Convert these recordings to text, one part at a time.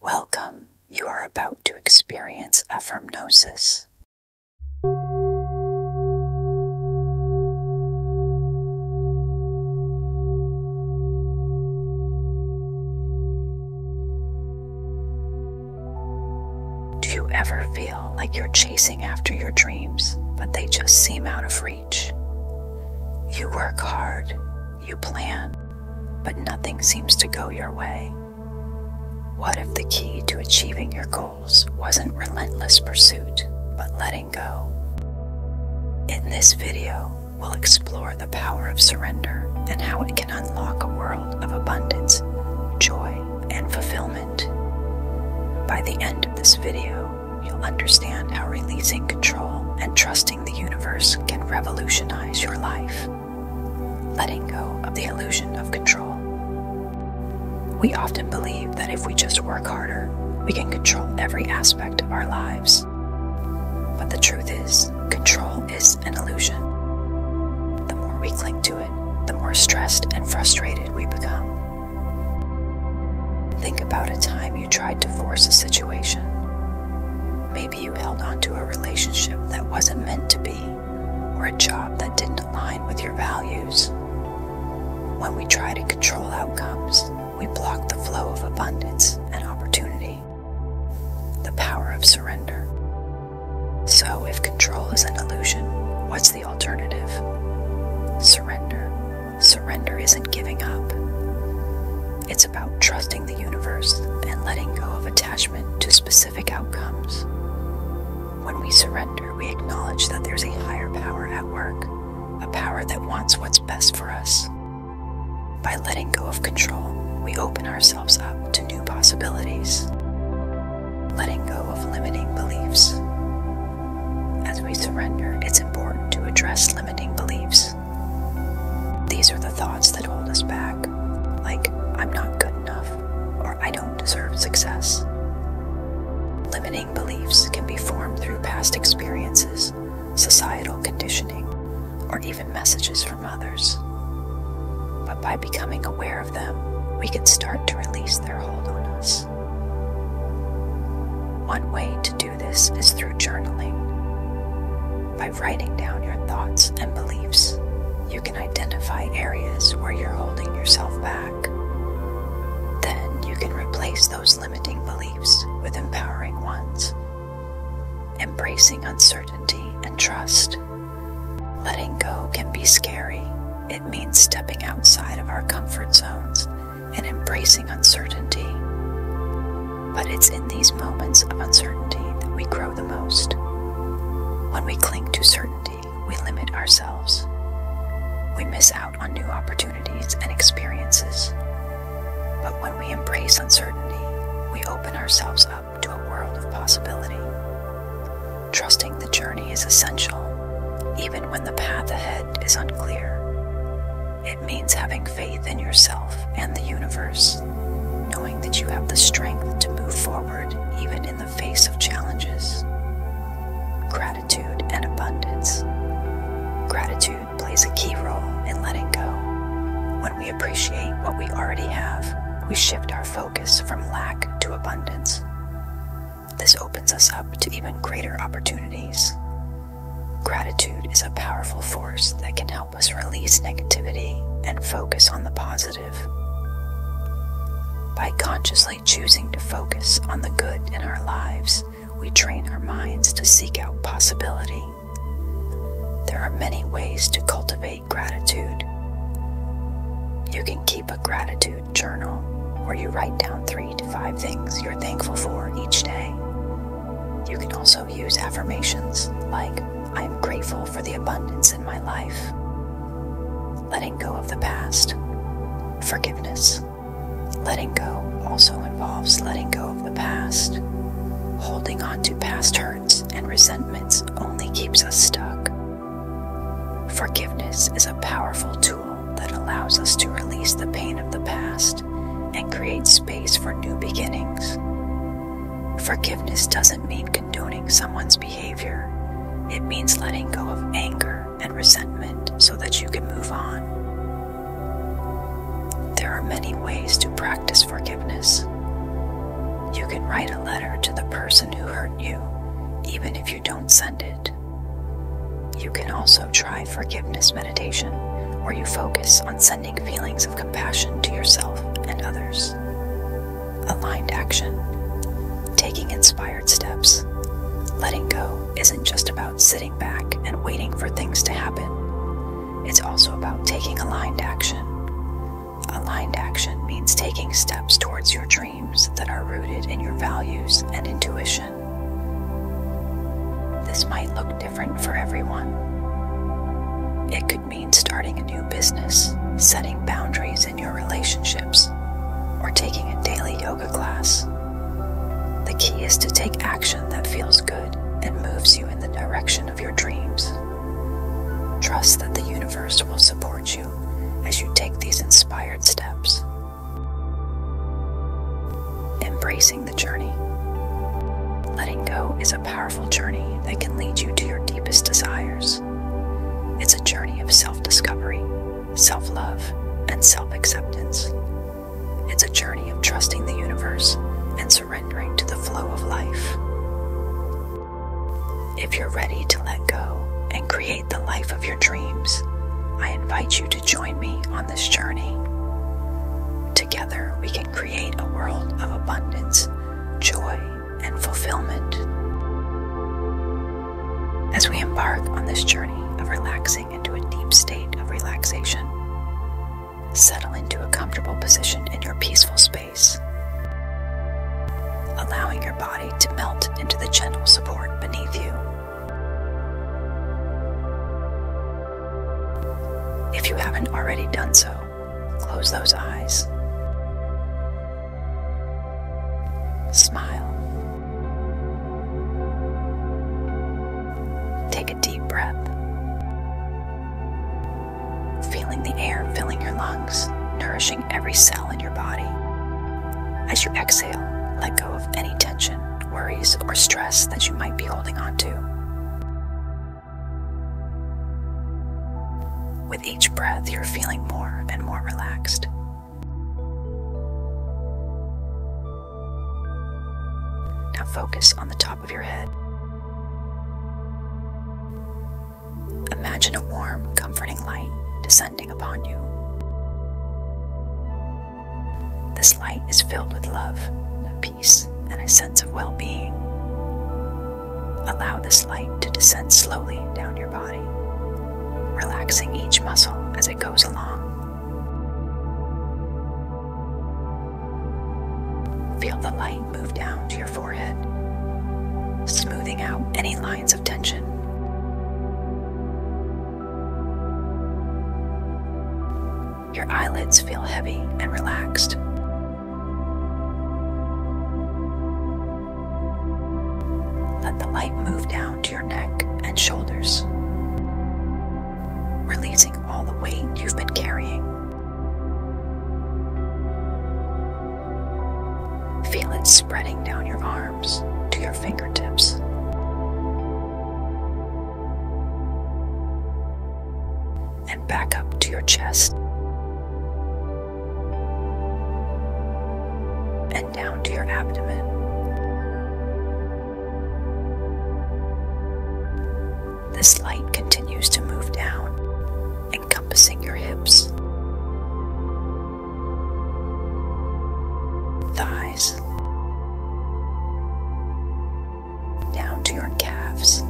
Welcome, you are about to experience affirmnosis. Do you ever feel like you're chasing after your dreams, but they just seem out of reach? You work hard, you plan, but nothing seems to go your way. What if the key to achieving your goals wasn't relentless pursuit, but letting go? In this video, we'll explore the power of surrender and how it can unlock a world of abundance, joy, and fulfillment. By the end of this video, you'll understand how releasing control and trusting the universe can revolutionize your life. Letting go of the illusion of control. We often believe that if we just work harder, we can control every aspect of our lives. But the truth is, control is an illusion. The more we cling to it, the more stressed and frustrated we become. Think about a time you tried to force a situation. Maybe you held on to a relationship that wasn't meant to be, or a job that didn't align with your values. When we try to control outcomes, we block the flow of abundance and opportunity, the power of surrender. So, if control is an illusion, what's the alternative? Surrender. Surrender isn't giving up. It's about trusting the universe and letting go of attachment to specific outcomes. When we surrender, we acknowledge that there's a higher power at work, a power that wants what's best for us. By letting go of control, we open ourselves up to new possibilities, letting go of limiting beliefs. As we surrender, it's important to address limiting beliefs. These are the thoughts that hold us back, like, I'm not good enough, or I don't deserve success. Limiting beliefs can be formed through past experiences, societal conditioning, or even messages from others. But by becoming aware of them, we can start to release their hold on us. One way to do this is through journaling writing down your thoughts and beliefs, you can identify areas where you're holding yourself back. Then you can replace those limiting beliefs with empowering ones. Embracing uncertainty and trust. Letting go can be scary. It means stepping outside of our comfort zones and embracing uncertainty. But it's in these moments of uncertainty that we grow the most. When we cling to certainty, we limit ourselves. We miss out on new opportunities and experiences. But when we embrace uncertainty, we open ourselves up to a world of possibility. Trusting the journey is essential, even when the path ahead is unclear. It means having faith in yourself and the universe, knowing that you have the strength to move forward even in the face of challenges. Gratitude and abundance. Gratitude plays a key role in letting go. When we appreciate what we already have, we shift our focus from lack to abundance. This opens us up to even greater opportunities. Gratitude is a powerful force that can help help us release negativity and focus on the positive. By consciously choosing to focus on the good in our lives, we train our minds to seek out possibility. There are many ways to cultivate gratitude. You can keep a gratitude journal where you write down three to five things you're thankful for each day you can also use affirmations like, I am grateful for the abundance in my life, letting go of the past, forgiveness. Letting go also involves letting go of the past. Holding on to past hurts and resentments only keeps us stuck. Forgiveness is a powerful tool that allows us to release the pain of the past and create space for new beginnings. Forgiveness doesn't mean condoning someone's behavior, it means letting go of anger and resentment so that you can move on. There are many ways to practice forgiveness. You can write a letter to the person who hurt you, even if you don't send it. You can also try forgiveness meditation, where you focus on sending sending feelings of compassion to yourself and others. Aligned action. Taking inspired steps. Letting go isn't just about sitting back and waiting for things to happen, it's also about taking aligned action. Aligned action means taking steps towards your dreams that are rooted in your values and intuition. This might look different for everyone. It could mean starting a new business, setting boundaries in your relationships, or taking a daily yoga class. The key is to take action that feels good and moves you in the direction of your dreams. Trust that the universe will support you as you take these inspired steps. Embracing enjoying journey. Letting go is a powerful journey that can lead you to your deepest desires. It's a journey of self discovery, self love, and self acceptance. It's a journey of trusting the universe and surrendering to the flow of life. If you're ready to let go and create the life of your dreams, I invite you to join me on this journey. Together, we can create a world of abundance, joy, and fulfillment. As we embark on this journey of relaxing into a deep state of relaxation, settle into a comfortable position in your peaceful space, allowing your body to melt into the gentle support beneath you. If you haven't already done so, Close those eyes. Smile. Take a deep breath. Feeling the air filling your lungs, nourishing every cell in your body. As you exhale, let go of any tension, worries, or stress that you might be holding onto. With each breath, you're feeling more and more relaxed. Now focus on the top of your head. Imagine a warm, comforting light descending upon you. This light is filled with love, and a sense of well being. Allow this light to descend slowly down your body, relaxing each muscle as it goes along. Feel the light move down to your forehead, smoothing out any lines of tension. Your eyelids feel heavy and relaxed. Let the light move down to your neck and shoulders, releasing all the weight you've been carrying. Feel it spreading down your arms to your fingertips and back up to your chest. And down to your abdomen. This light continues to move down, encompassing your hips, thighs, down to your calves.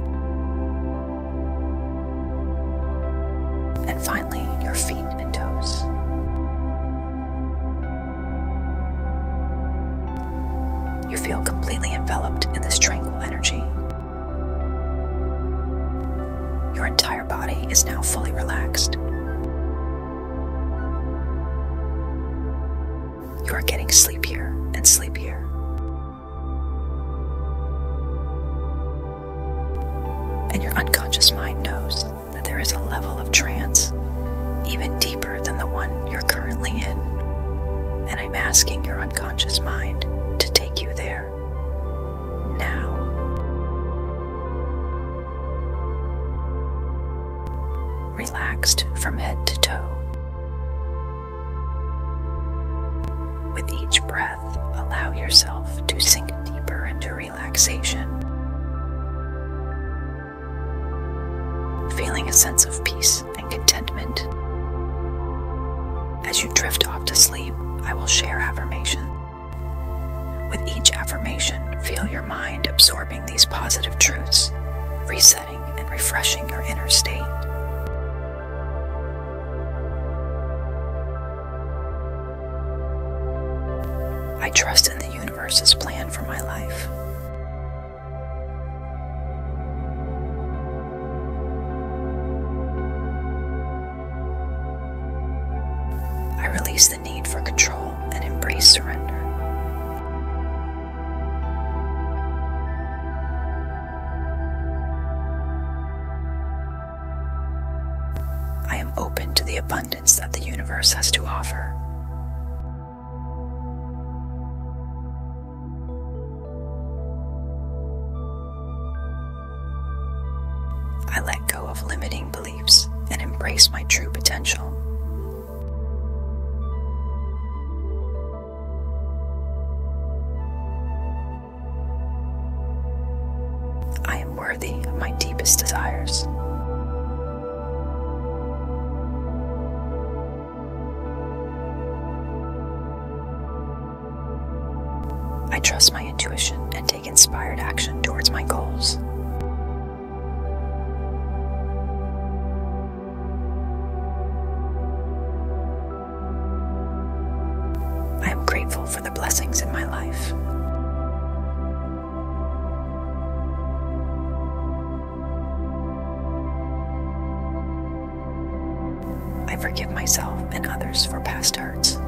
And finally, your feet and toes. You feel completely enveloped in this tranquil energy. Your entire body is now fully relaxed. You are getting sleepier and sleepier. And your unconscious mind knows that there is a level of trance even deeper than the one you're currently in. And I'm asking your unconscious mind to take you there now. Relaxed from head to toe. With each breath, allow yourself to sink deeper into relaxation, feeling a sense of peace and contentment. As you drift off to sleep, I will share affirmations. With each affirmation, feel your mind absorbing these positive truths, Reset and refreshing your inner state. I trust in the universe's plan for my life. I release the need for control and embrace surrender. I am open to the abundance that the universe has to offer. I let go of limiting beliefs and embrace my true potential. I am worthy of my deepest desires. I trust my intuition and take inspired action towards my goals. I am grateful for the blessings in my life. I forgive myself and others for past hurts.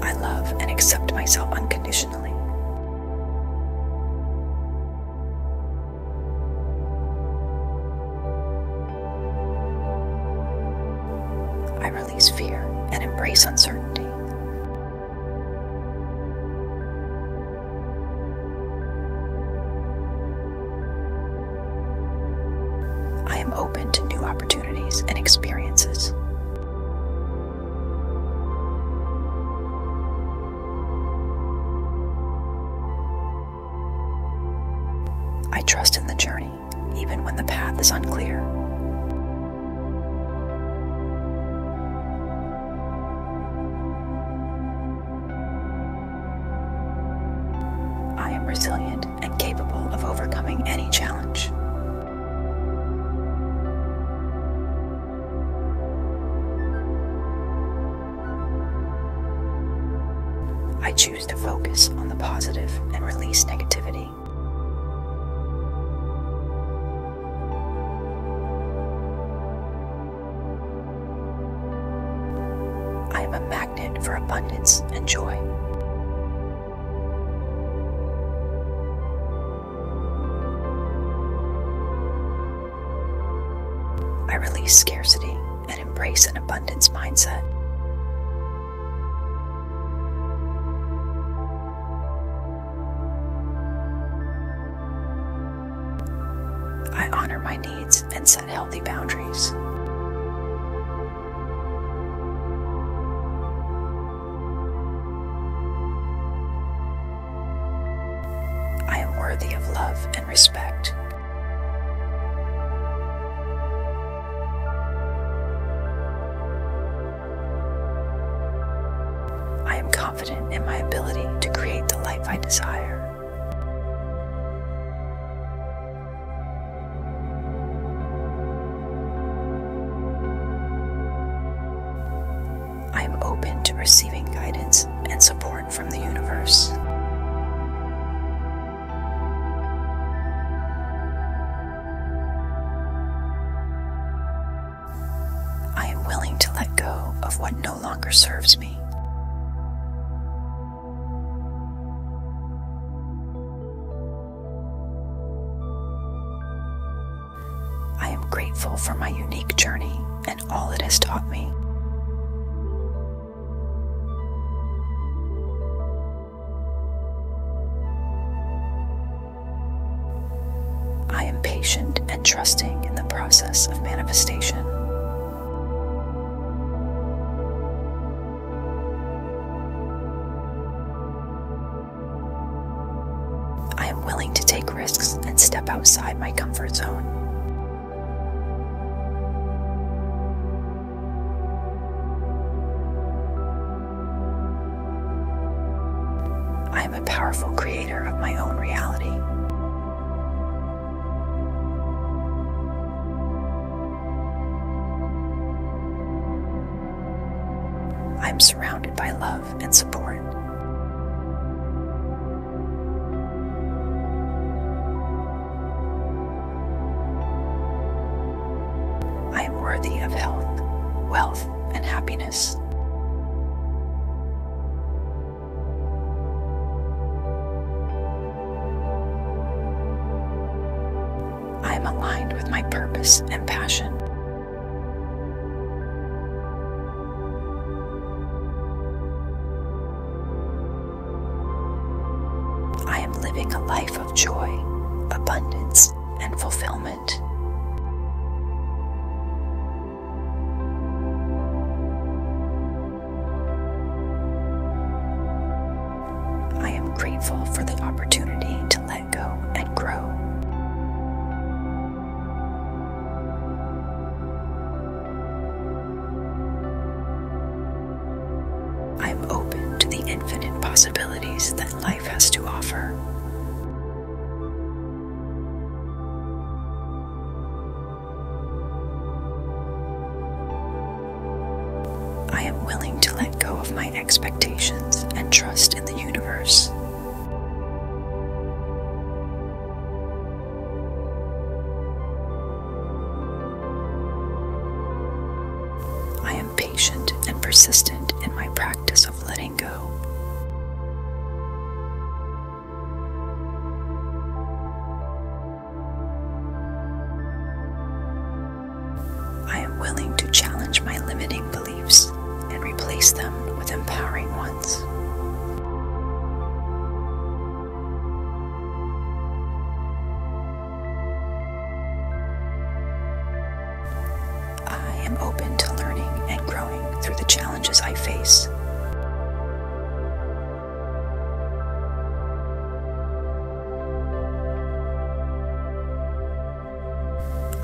I love and accept myself unconditionally. I release fear and embrace uncertainty. I am open to new opportunities and experiences. I trust in the journey, even when the path is unclear. I am resilient and capable of overcoming any challenge. I choose to focus on the positive and release negativity. I am a magnet for abundance and joy. I release scarcity and embrace an abundance mindset. I honor my needs and set healthy boundaries. I am worthy of love and respect. I am confident in my ability to create the life I desire. I am open to receiving guidance and support from the universe. I am willing to let go of what no longer serves me. I am grateful for my unique journey and all it has taught me. I am patient and trusting in the process of manifestation. I am willing to take risks and step outside my comfort zone. I am a powerful creator of my own reality. I'm surrounded by love and support. I am worthy of health, wealth, and happiness. I am aligned with my purpose and passion. I am living a life of joy, abundance, and fulfillment. I am grateful for the opportunity to go and grow. I'm open to the infinite possibilities that life has to offer. I am willing to let go of my expectations and trust in the universe. I am patient and persistent in my practice of letting go. I am willing to challenge my limiting beliefs and replace them with empowering ones. I am open to learning and growing through the challenges I face.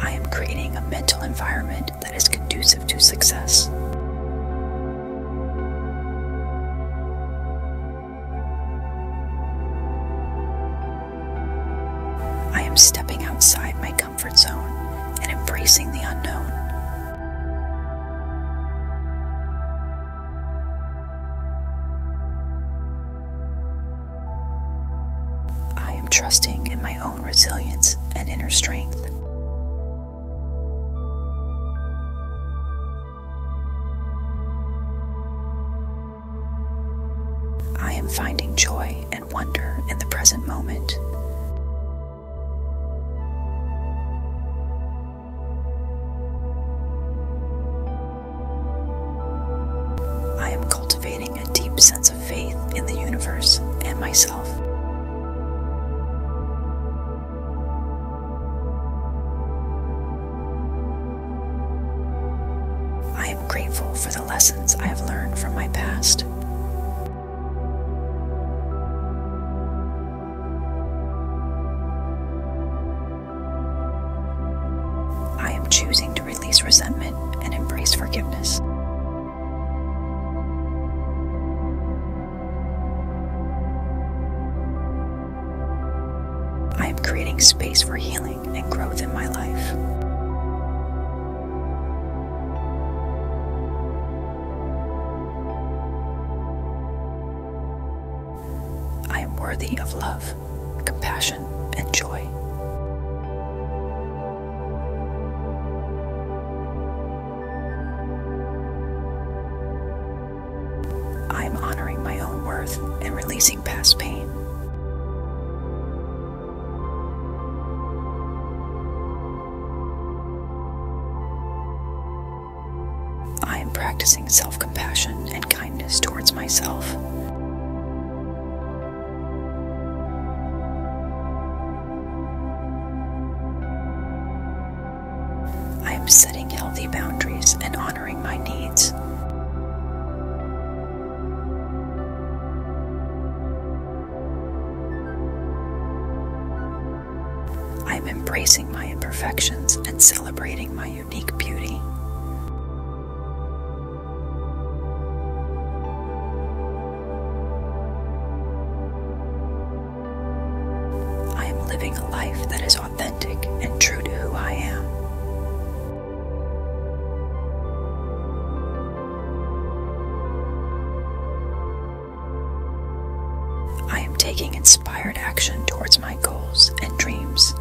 I am creating a mental environment that is conducive to success. I am stepping outside my comfort zone and embracing the unknown. I am trusting in my own resilience and inner strength. I am finding joy and wonder in the present moment. I am cultivating a deep sense of faith in the universe and myself. I am grateful for the lessons I have learned from my past. I am choosing to release resentment and embrace forgiveness. I am creating space for healing and growth in my life. I am worthy of love compassion, and joy. I am honoring my own worth and releasing past pain. I am practicing self compassion and kindness towards myself. I am setting healthy boundaries and honoring my needs. I am embracing my imperfections and celebrating my unique beauty. I am living a life that is authentic and true to who I am. I am taking inspired action towards my goals and dreams.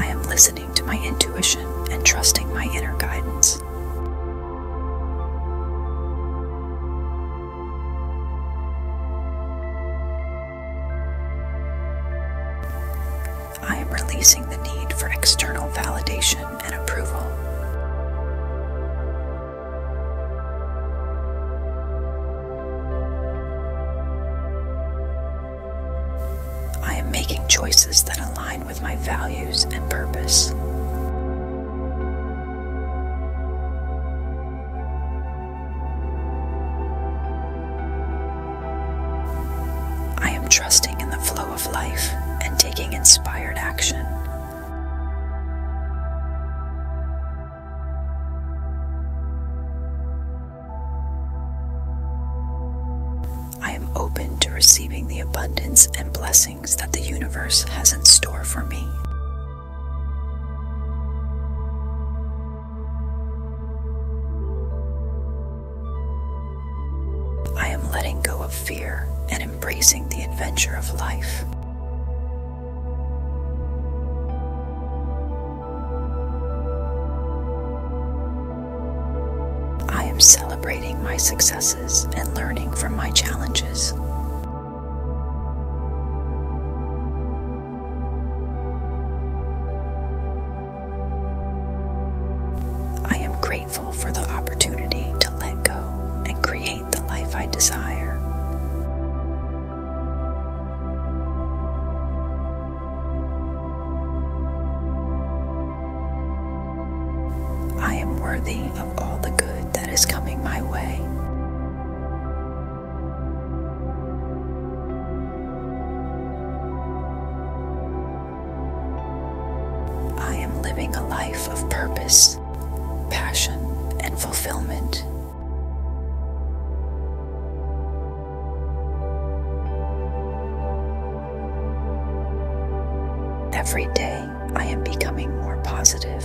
I am listening to my intuition and trusting my inner guidance. I am releasing the need for external validation and approval. I am making choices that align with my values and purpose. I am trusting in the flow of life and taking inspired action. I am open to receiving the abundance and blessings that the universe has in store for me. I am letting go of fear and embracing the adventure of life. I am celebrating my successes and learning from my challenges. I am grateful for the opportunity to let go and create the life I desire. I am worthy of all the good that is coming my way. I am living a life of purpose passion, and fulfillment. Every day, I am becoming more positive.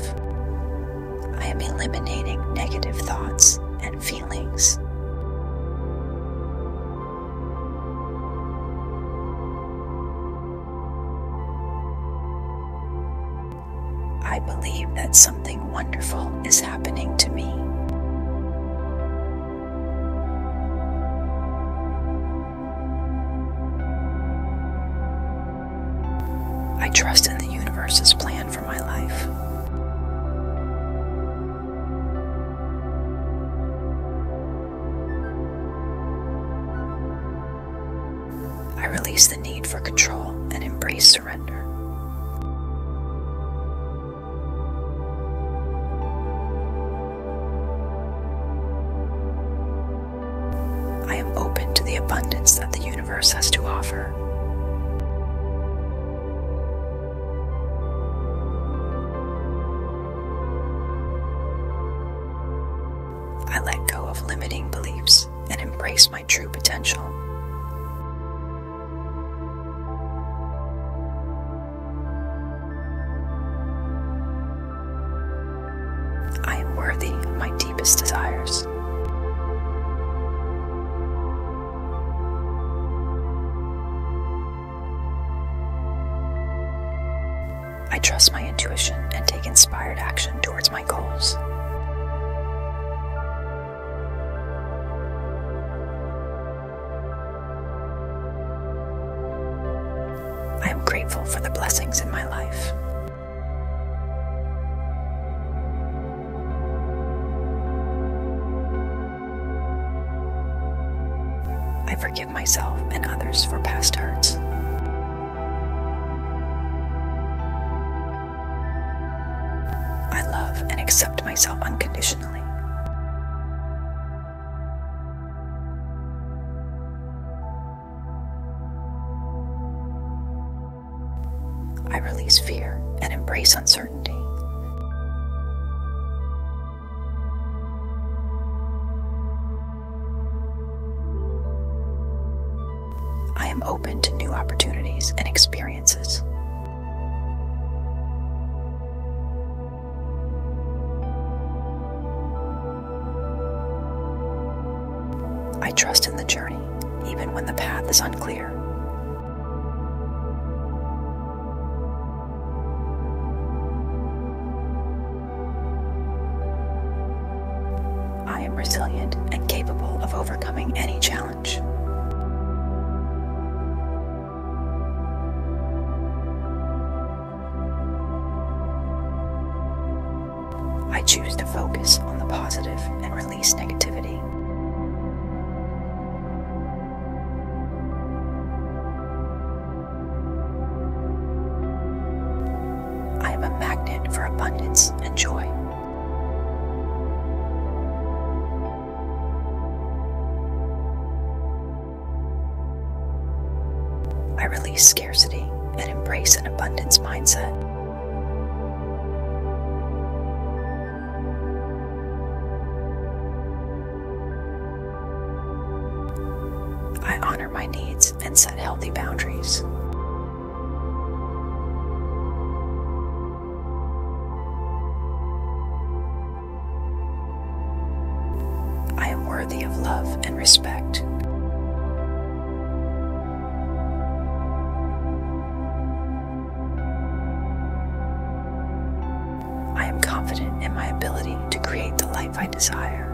I am eliminating negative thoughts and feelings. I believe that something wonderful is happening to me. I trust in the universe's plan for my life. I release the need for control and embrace surrender. I am open to the abundance that the universe has to offer. I let go of limiting beliefs and embrace my true potential. I am worthy of my deepest desires. I trust my intuition and take inspired action towards my goals. I am grateful for the blessings in my life. I forgive myself and others for past hurts. I love and accept myself unconditionally. I release fear and embrace uncertainty. I am open to new opportunities and experiences. I trust in the journey, even when the path is unclear. I am resilient and capable of overcoming any challenge. I choose to focus on the positive and release negativity. I am a magnet for abundance and joy. I release scarcity and embrace an abundance mindset. I honor my needs and set healthy boundaries. I am worthy of love and respect. I am confident in my ability to create the life I desire.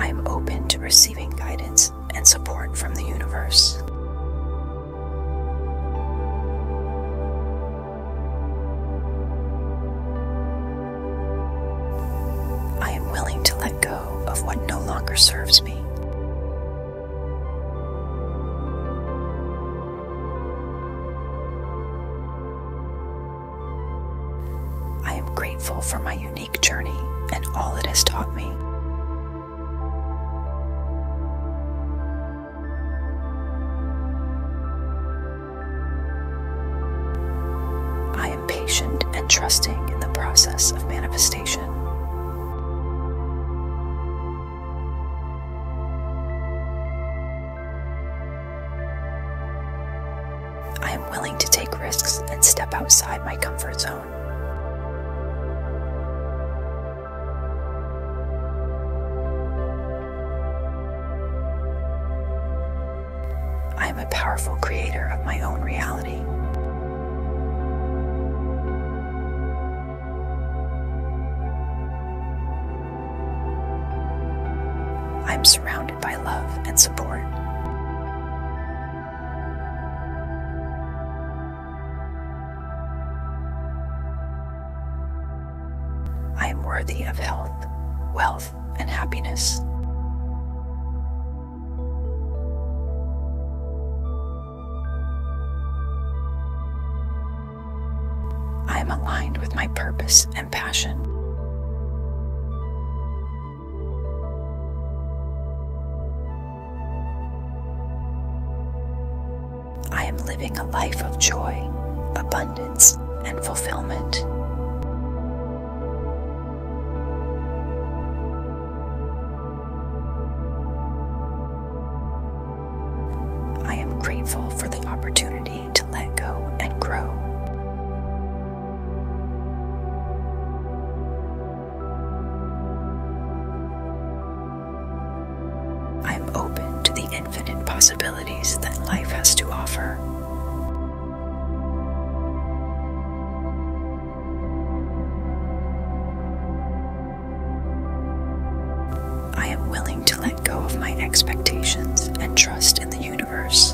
I am open to receiving guidance and support from the universe. I am willing to let go of what no longer serves me. I am grateful for my unique journey and all it has taught me. I am patient and trusting in the process of manifestation. I am willing to take risks and step outside my comfort zone. I am a powerful creator of my own reality. I'm surrounded by love and support. I am worthy of health, wealth, and happiness. I am aligned with my purpose and passion. I am living a life of joy, abundance, and fulfillment. I am grateful for the opportunity to let go and grow. I am open to the infinite possibilities that life has to offer. I am willing to let go of my expectations and trust in the universe.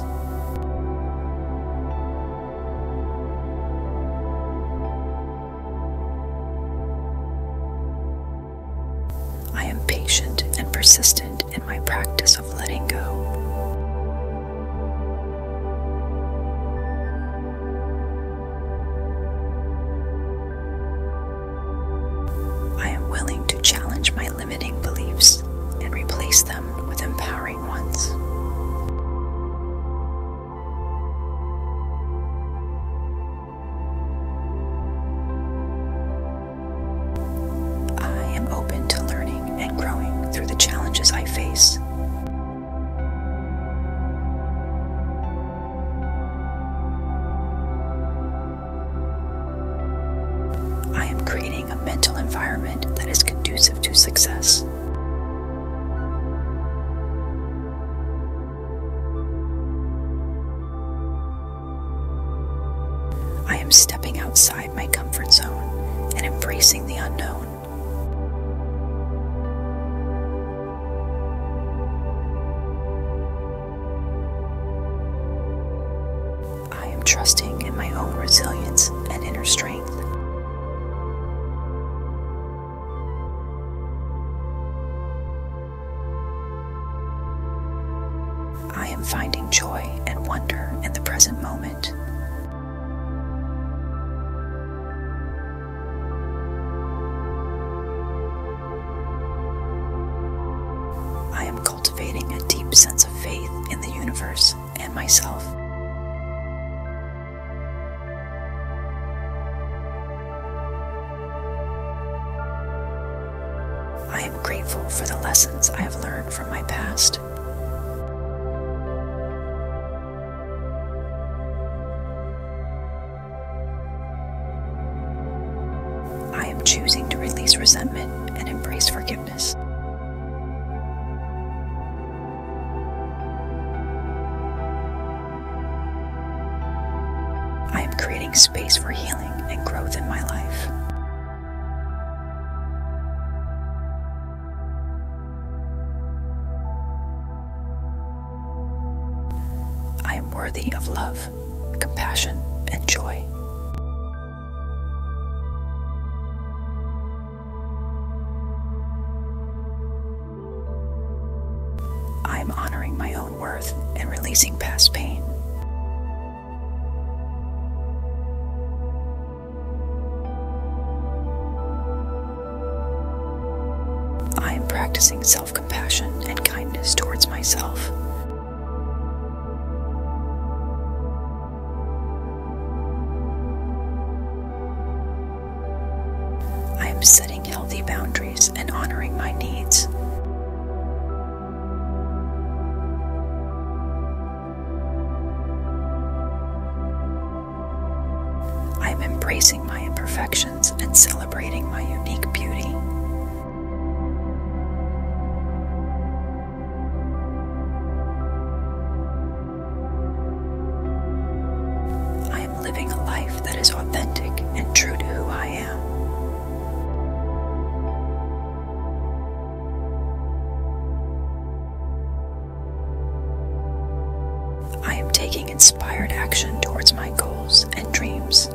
I am patient and persistent in my practice of letting go. I am willing to challenge my limiting beliefs and replace them with empowering ones. I am open to learning and growing through the challenges I face. I am creating a mental environment that is conducive to success. I am stepping outside my comfort zone and embracing the unknown. I am trusting in my own resilience and inner strength. I am finding joy and wonder in the present moment. I am cultivating a deep sense of faith in the universe and myself. I am grateful for the lessons I have learned from my past. I am choosing to release resentment and embrace forgiveness. I am creating space for healing and growth in my life. I am worthy of love, compassion, and joy. I am honoring my own worth and releasing past pain. I am practicing self compassion and kindness towards myself. I am setting healthy boundaries and honoring my needs. I am embracing my imperfections and celebrating my unique beauty. I am living a life that is authentic and true to who I am. I am taking inspired action towards my goals and dreams.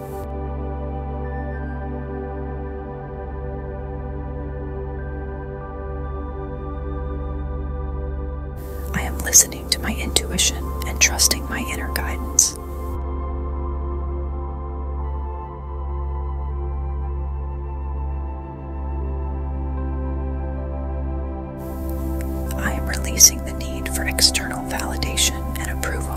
I am listening to my intuition and trusting my inner guidance. I am releasing the need for external validation and approval.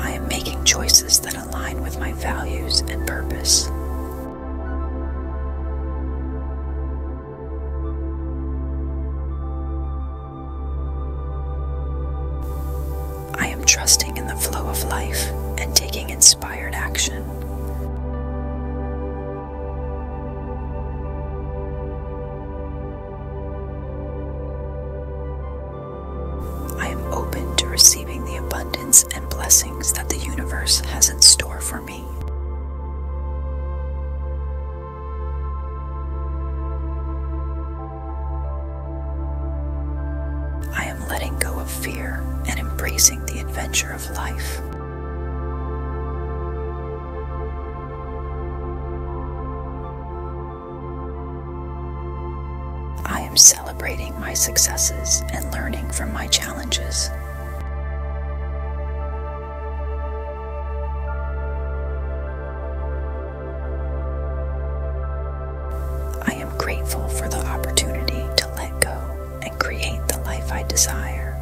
I am making choices that align with my values and purpose. I am trusting in the flow of life and taking inspired action. I am open to receiving the abundance and blessings that the universe has in store for me. I am letting go of fear and embracing the adventure of life. I am celebrating my successes and learning from my challenges. I am grateful for the opportunity to let go and create the life I desire.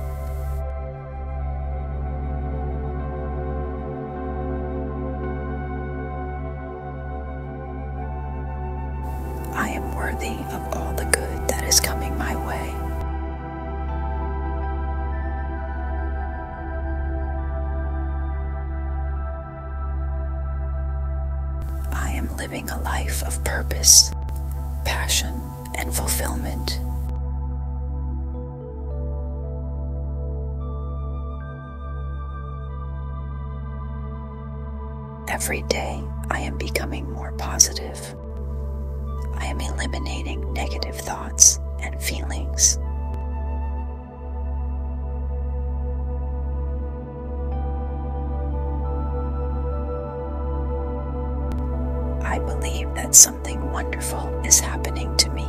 I am worthy of all the good that is coming my way. I am living a life of purpose, passion, and fulfillment. Every day, I am becoming more positive. I am eliminating negative thoughts and feelings. I believe that something wonderful is happening to me.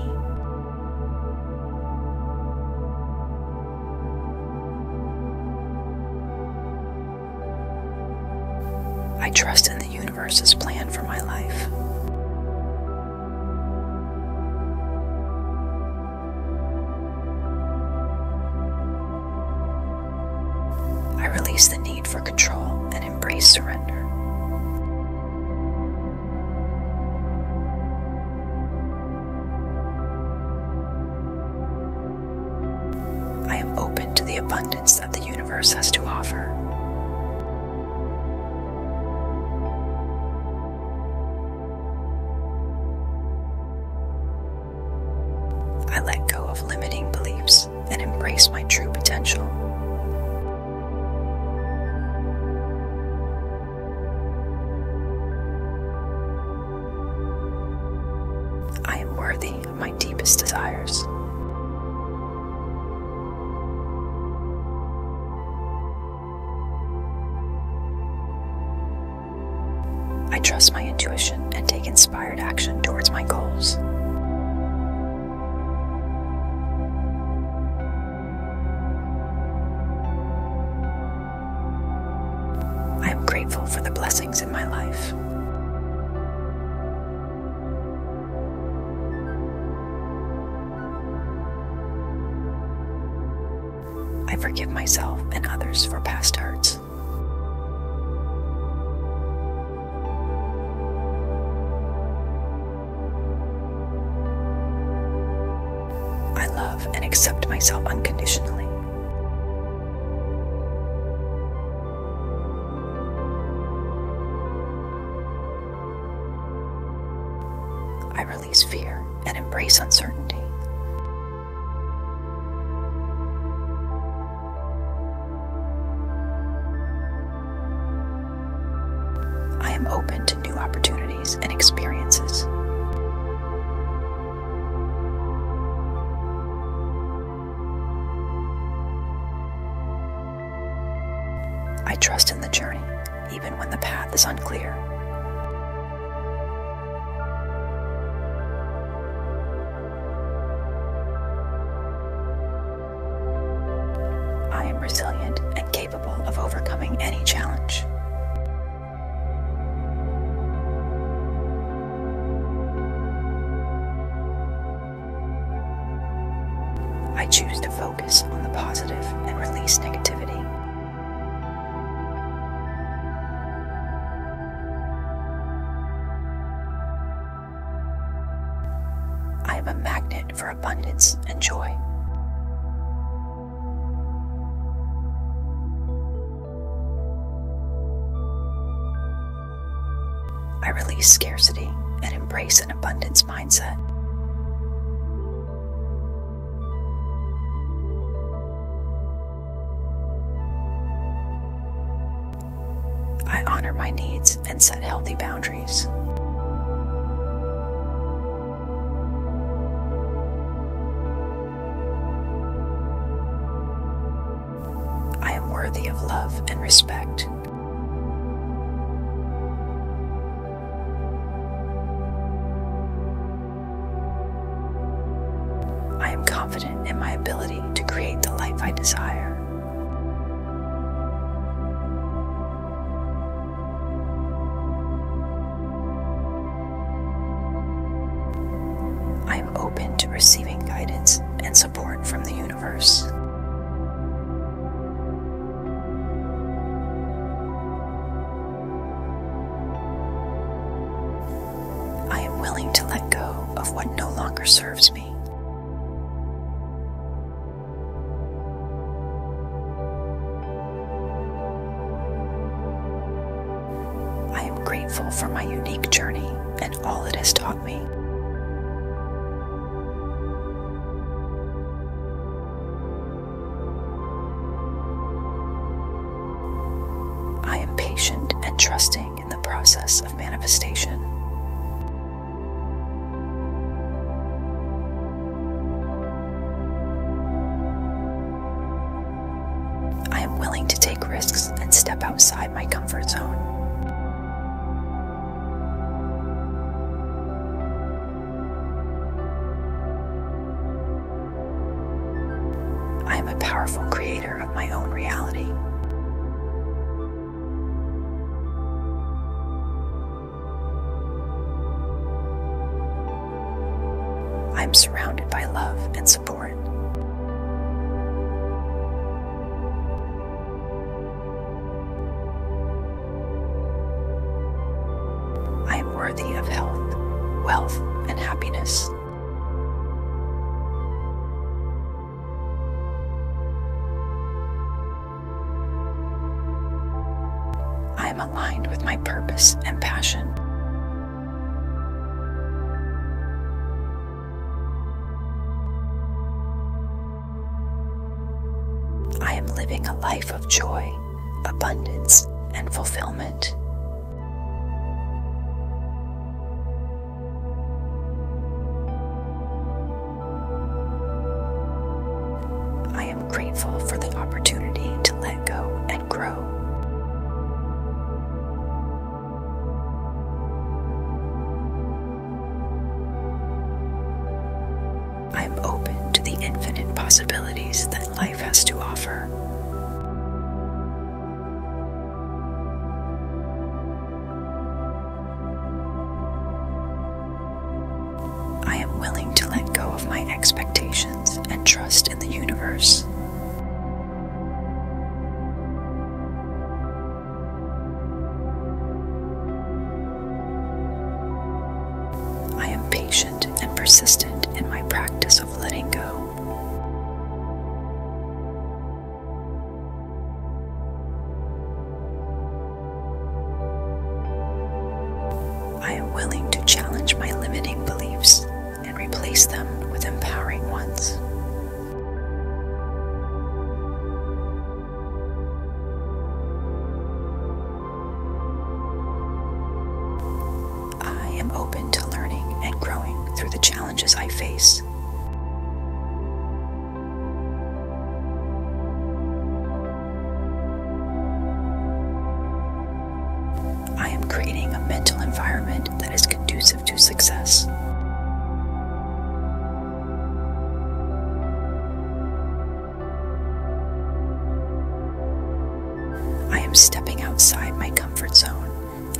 I trust in the universe's plan for my life. I release the need for control and embrace surrender. I am open to the abundance that the universe has to offer. I let go of limiting beliefs and embrace my true potential. I am worthy of my deepest desires. I trust my intuition and take inspired action towards my goals. I am grateful for the blessings in my life. I forgive myself and others for past hurts. I love and accept myself unconditionally release fear and embrace uncertainty. I am open to new opportunities and experiences. I trust in the journey, even when the path is unclear. I am resilient and capable of overcoming any challenge. I choose to focus on the positive and release negativity. I am a magnet for abundance and joy. I release scarcity and embrace an abundance mindset. I honor my needs and set healthy boundaries. I am worthy of love and respect. I am confident in my ability to create the life I desire. I am open to receiving guidance and support from the universe. I am willing to let go of what no longer serves me. I am grateful for my unique journey and all it has taught me. I am patient and trusting in the process of manifestation. I am willing to take risks and step outside my comfort zone. I am a powerful creator of my own reality. I am surrounded by love and support. I am worthy of health, wealth, and happiness. I am aligned with my purpose and passion. I am living a life of joy, abundance, and fulfillment. I am grateful for the opportunity to let go and grow. I am open to the infinite possibilities that life to offer. I am willing to let go of my expectations and trust in the universe. I am patient and persistent in my practice of letting go. I am willing to challenge my limiting beliefs and replace them with empowering ones. I am open to learning and growing through the challenges I face. I am creating a mental environment that is conducive to success. I am stepping outside my comfort zone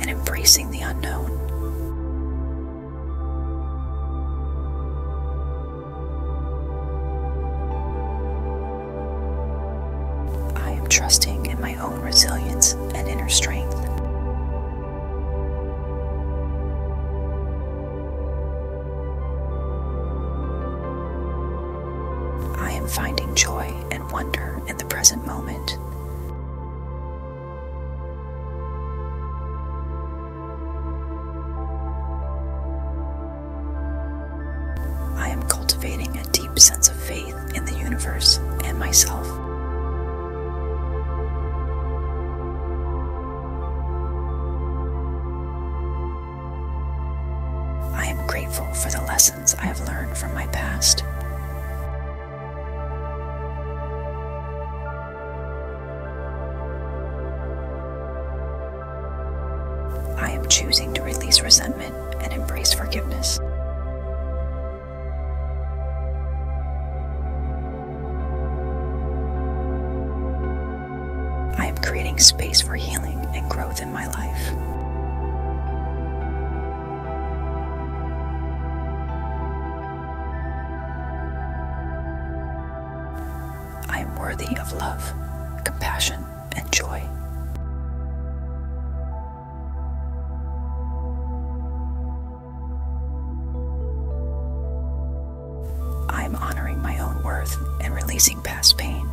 and embracing the unknown. I am trusting in my own resilience and inner strength. I am finding joy and wonder in the present moment. I am cultivating a deep sense of faith in the universe and myself. I am grateful for the lessons. I have learned from my past. I am choosing to release resentment and embrace forgiveness. I am creating space for healing and growth in my life. I am worthy of love, compassion, and joy. I am honoring my own worth and releasing past pain.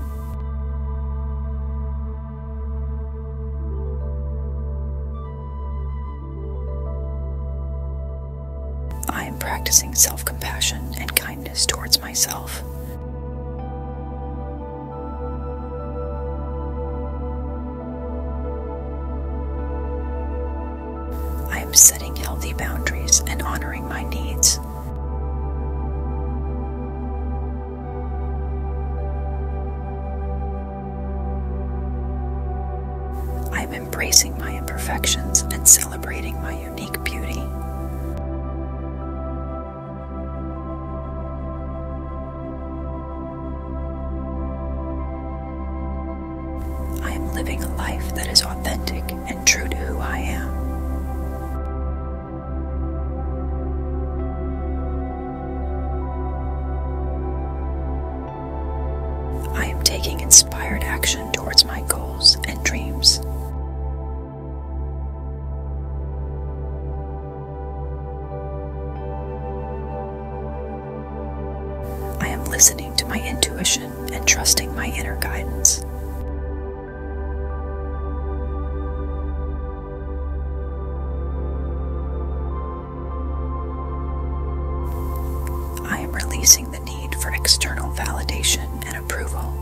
I am practicing self compassion and kindness towards myself. I am setting healthy boundaries and honoring my needs. I am embracing my imperfections and celebrating my unique beauty. I am living a life that is authentic and true to who I am. I am taking inspired action towards my goals and dreams. I am listening to my intuition and trusting my inner guidance. I am releasing the need for external validation and approval.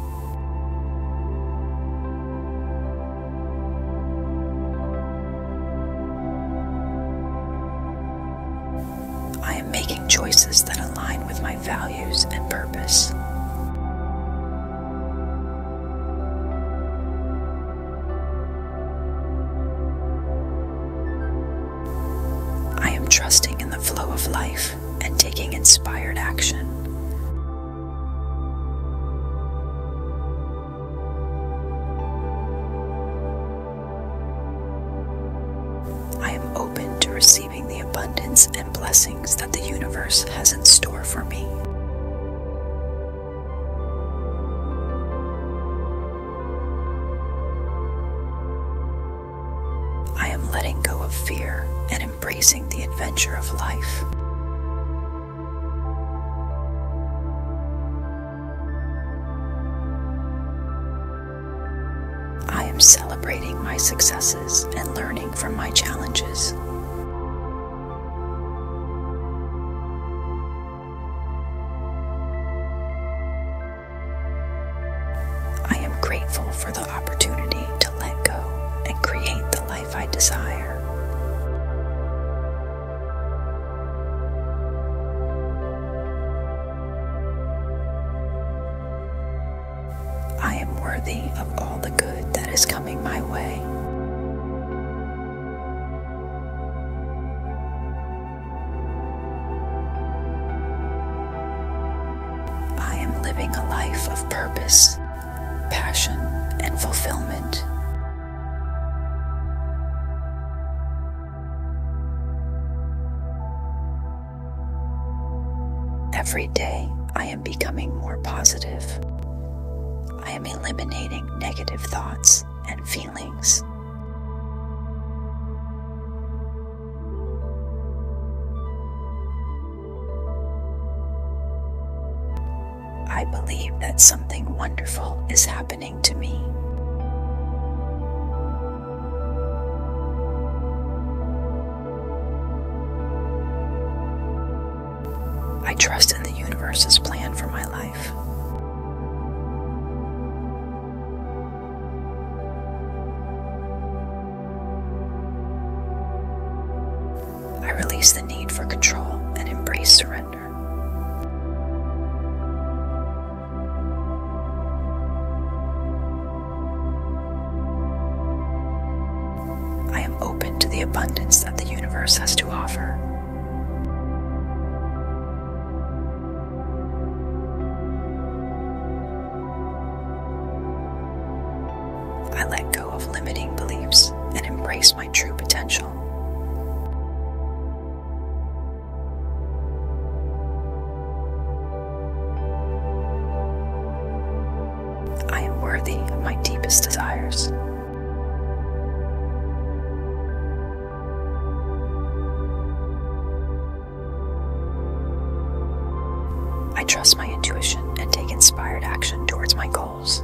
I am making choices that align with my values and purpose. I am trusting in the flow of life and taking inspired action. I am open to receiving the abundance and blessings that the universe has in store for me. I am letting go of fear and embracing the adventure of life. I am celebrating my successes and learning from my challenges. I am grateful for the opportunity to let go and create the life I desire. I am worthy of all the good that is coming my way. I am living a life of purpose, passion, and fulfillment. Every day I am becoming more positive. I am eliminating negative thoughts and feelings. I believe that something wonderful is happening to me. I trust in the universe's plan for my life. I release the need for control and embrace surrender. I am open to the abundance that the universe has to offer. I let go of limiting beliefs and embrace my true potential. I am worthy of my deepest desires. I trust my intuition and take inspired action towards my goals.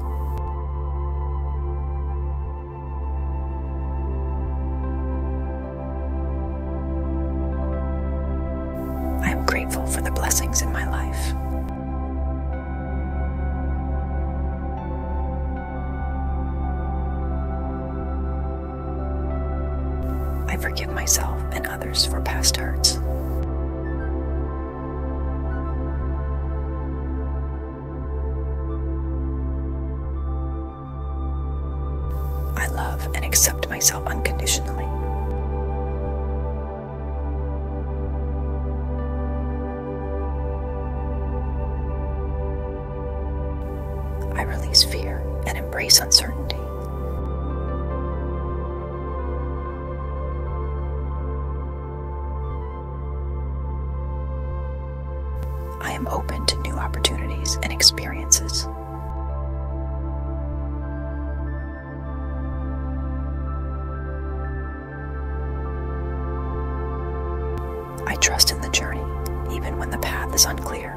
I am grateful for the blessings in my life. I forgive myself and others for past hurts. I love and accept myself unconditionally. I release fear and embrace uncertainty. I am open to new opportunities and experiences. I trust in the journey, even when the path is unclear.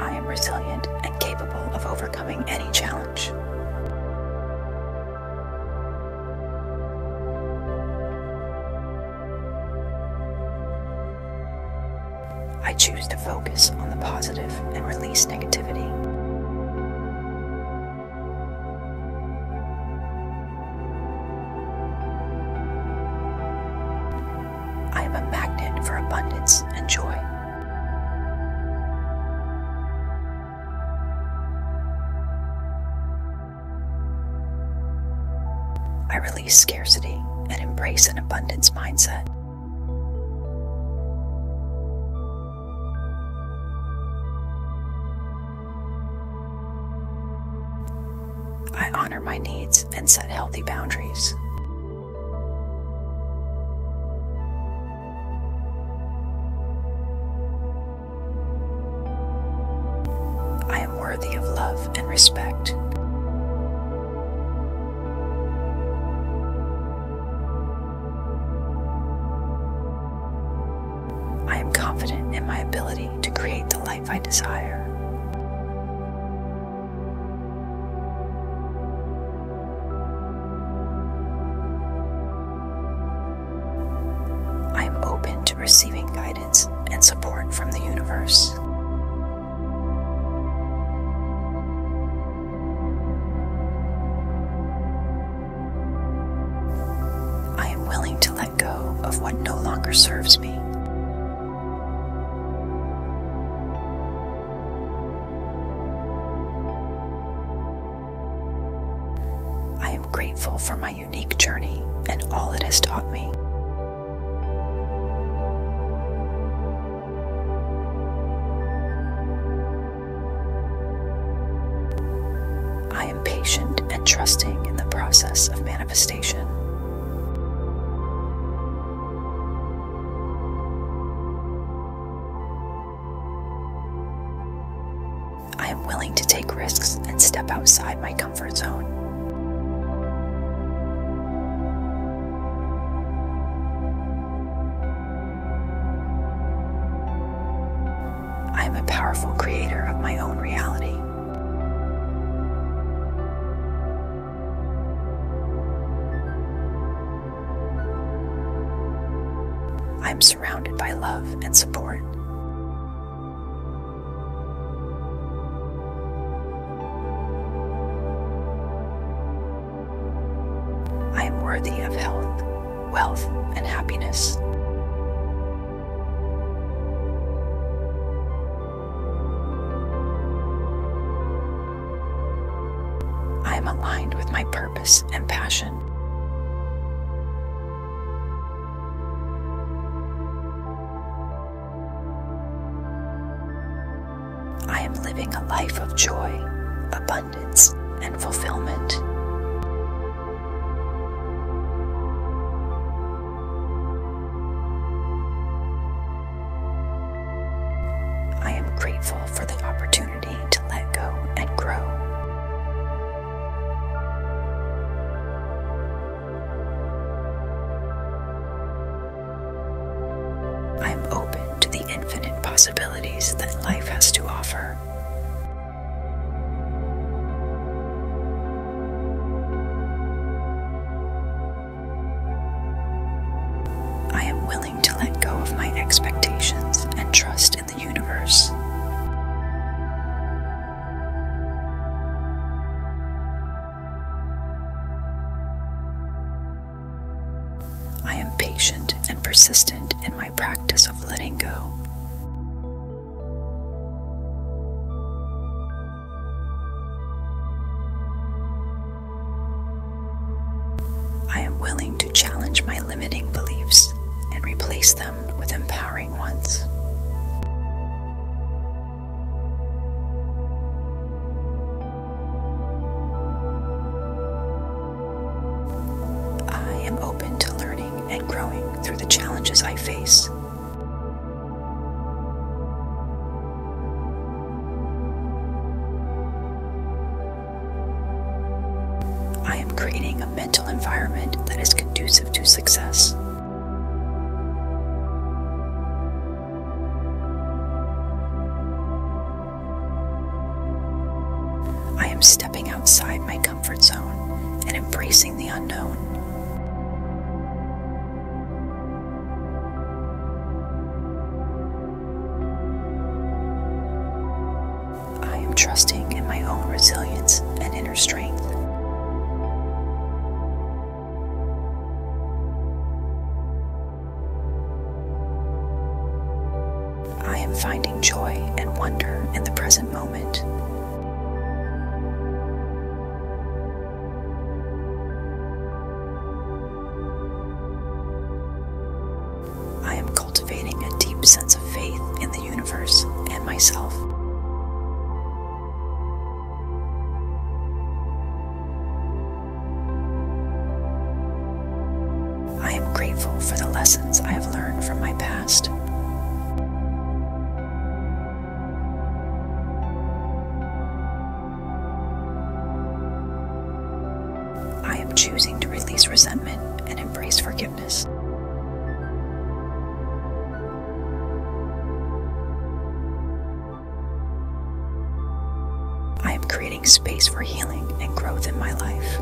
I am resilient and capable of overcoming any challenge. I choose to focus on the positive and release negativity. I am a magnet for abundance and joy release scarcity and embrace an abundance mindset. I honor my needs and set healthy boundaries. I am worthy of love and respect. I am confident in my ability to create the life I desire. I am open to receiving guidance and support from the universe. I am willing to let go of what no longer serves me. I am grateful for my unique journey and all it has taught me. I am patient and trusting in the process of manifestation. I am willing to take risks and step outside my comfort zone. I am a powerful creator of my own reality. I am surrounded by love and support. I am worthy of health, wealth, and happiness. I am aligned with my purpose and passion. I am living a life of joy, abundance, and fulfillment. I am grateful for the opportunity to let go and grow. I am open to the infinite possibilities that life has to offer. I am willing to let go of my expectations and trust in the universe. I am patient and persistent in my practice of letting go. I am willing to challenge my limiting beliefs and replace them with empowering ones. I am open to learning and growing through the challenges I face. I am creating a mental environment that is conducive to success. I am stepping outside my comfort zone and embracing the unknown. I am trusting in my own resilience and inner strength. I am finding joy and wonder in the present moment. I am cultivating a deep sense of faith in the universe and myself. I am grateful for the lessons I have learned from my past. I am choosing to release resentment and embrace forgiveness. I am creating space for healing and growth in my life.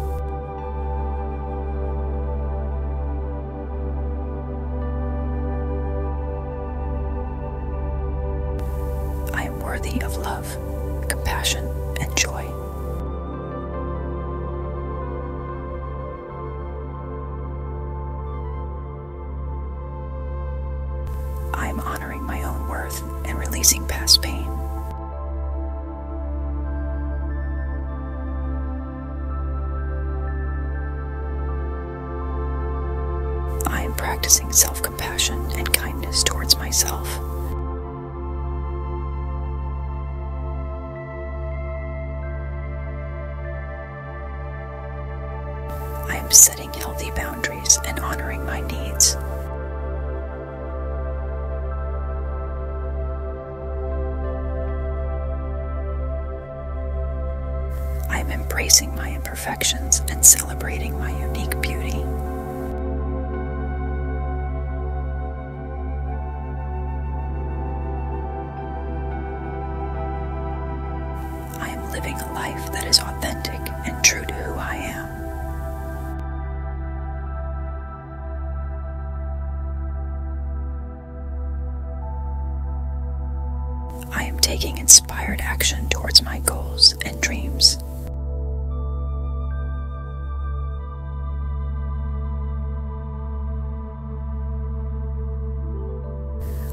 I am worthy of love, compassion, and joy. I am honoring my own worth and releasing past pain. I am practicing self compassion and kindness towards myself. I am setting healthy boundaries and honoring my needs. I am embracing my imperfections and celebrating my unique beauty. I am living a life that is authentic and true to who I am. I am taking inspired action towards my goals and dreams.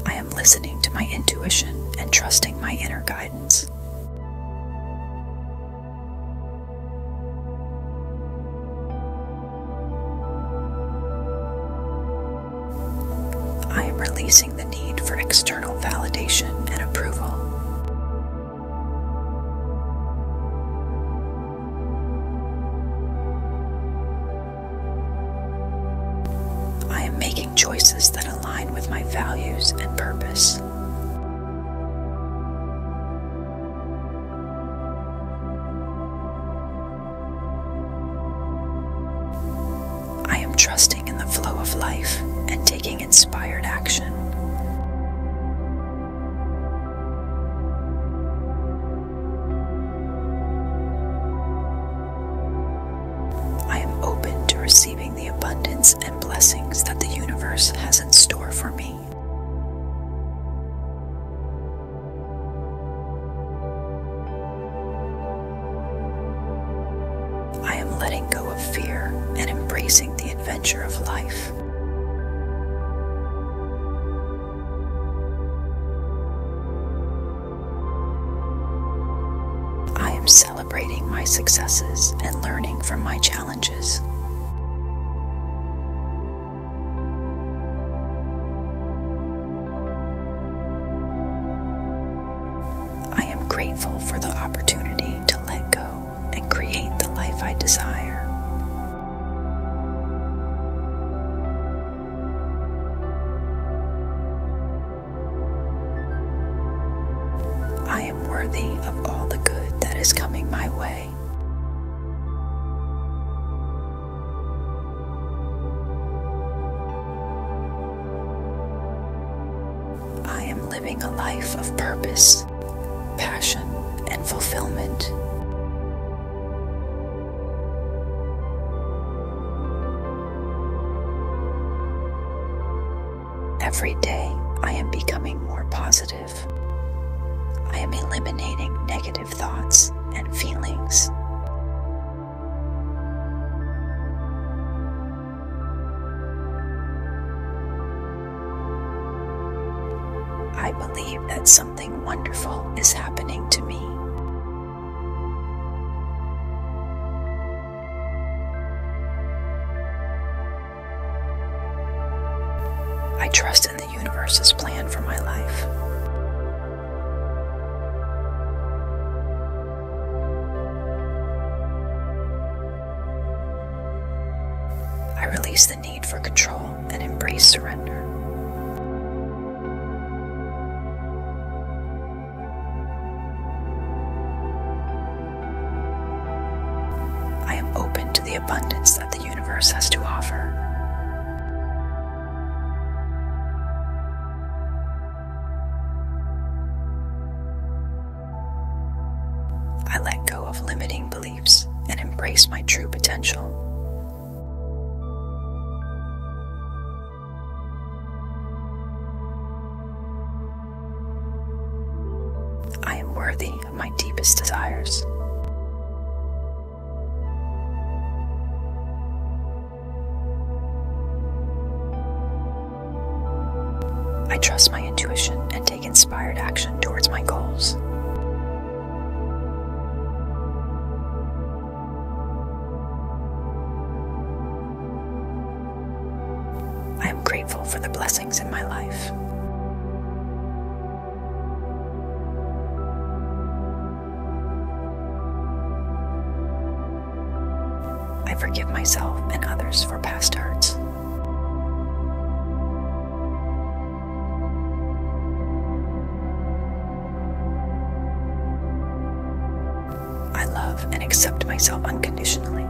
I listening to my intuition and trusting my inner guidance. I am releasing the need for external validation and approval. I am making choices that align with my values and purpose. I am trusting in the flow of life and taking inspired action. I am open to receiving the abundance and blessings that the universe has in store for me. I am letting go of fear and embracing the adventure of life. I am celebrating my successes and learning from my challenges. I am grateful for the opportunity to let go and create the life I desire. I am worthy of all the good that is coming my way. I am living a life of purpose, passion, and fulfillment. Every day, I am becoming more positive. I am eliminating negative thoughts and feelings. I believe that something wonderful is happening to me. I trust in the universe's plan for my life. I release the need for control and embrace surrender. I am open to the abundance that the universe has to offer. I let go of limiting beliefs and embrace my true potential. I am worthy of my deepest desires. I trust my intuition and take inspired action towards my goals. I am grateful for the blessings in my life. I forgive myself and others for past hurts. I love and accept myself unconditionally.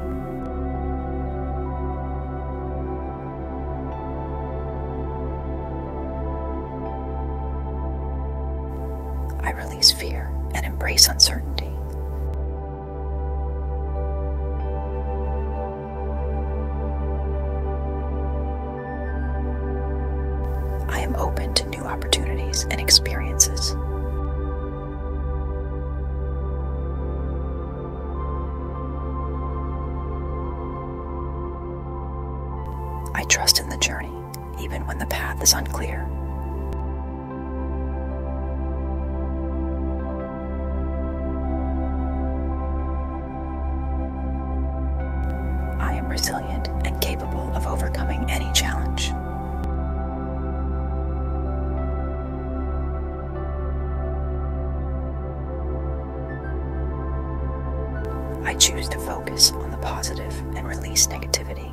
I release fear and embrace uncertainty. I am open to new opportunities and experiences. I trust in the journey, even when the path is unclear. I am resilient and capable of overcoming any challenge. I choose to focus on the positive and release negativity.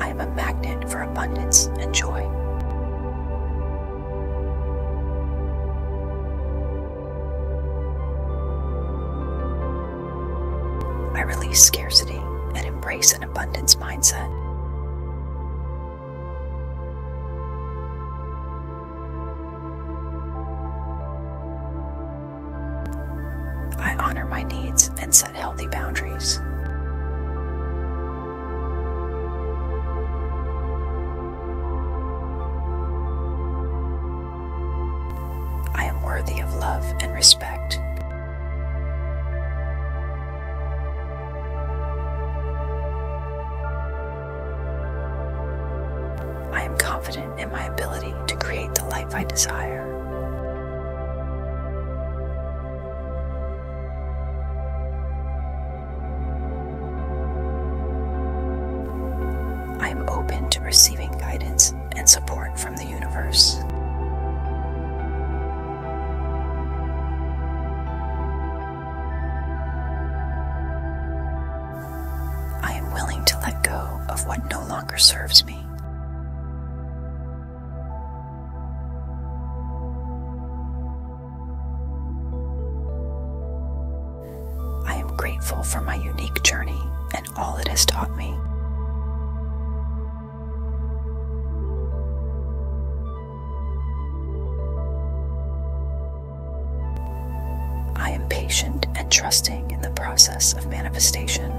I am a magnet for abundance and joy. I release scarcity and embrace an abundance mindset. I honor my needs and set healthy boundaries. I am worthy of love and respect. I am confident in my ability to create the life I desire. I am open to receiving guidance and support from the universe. I am willing to let go of what no longer serves me. I am grateful for my unique journey and all it has taught me. I am patient and trusting in the process of manifestation.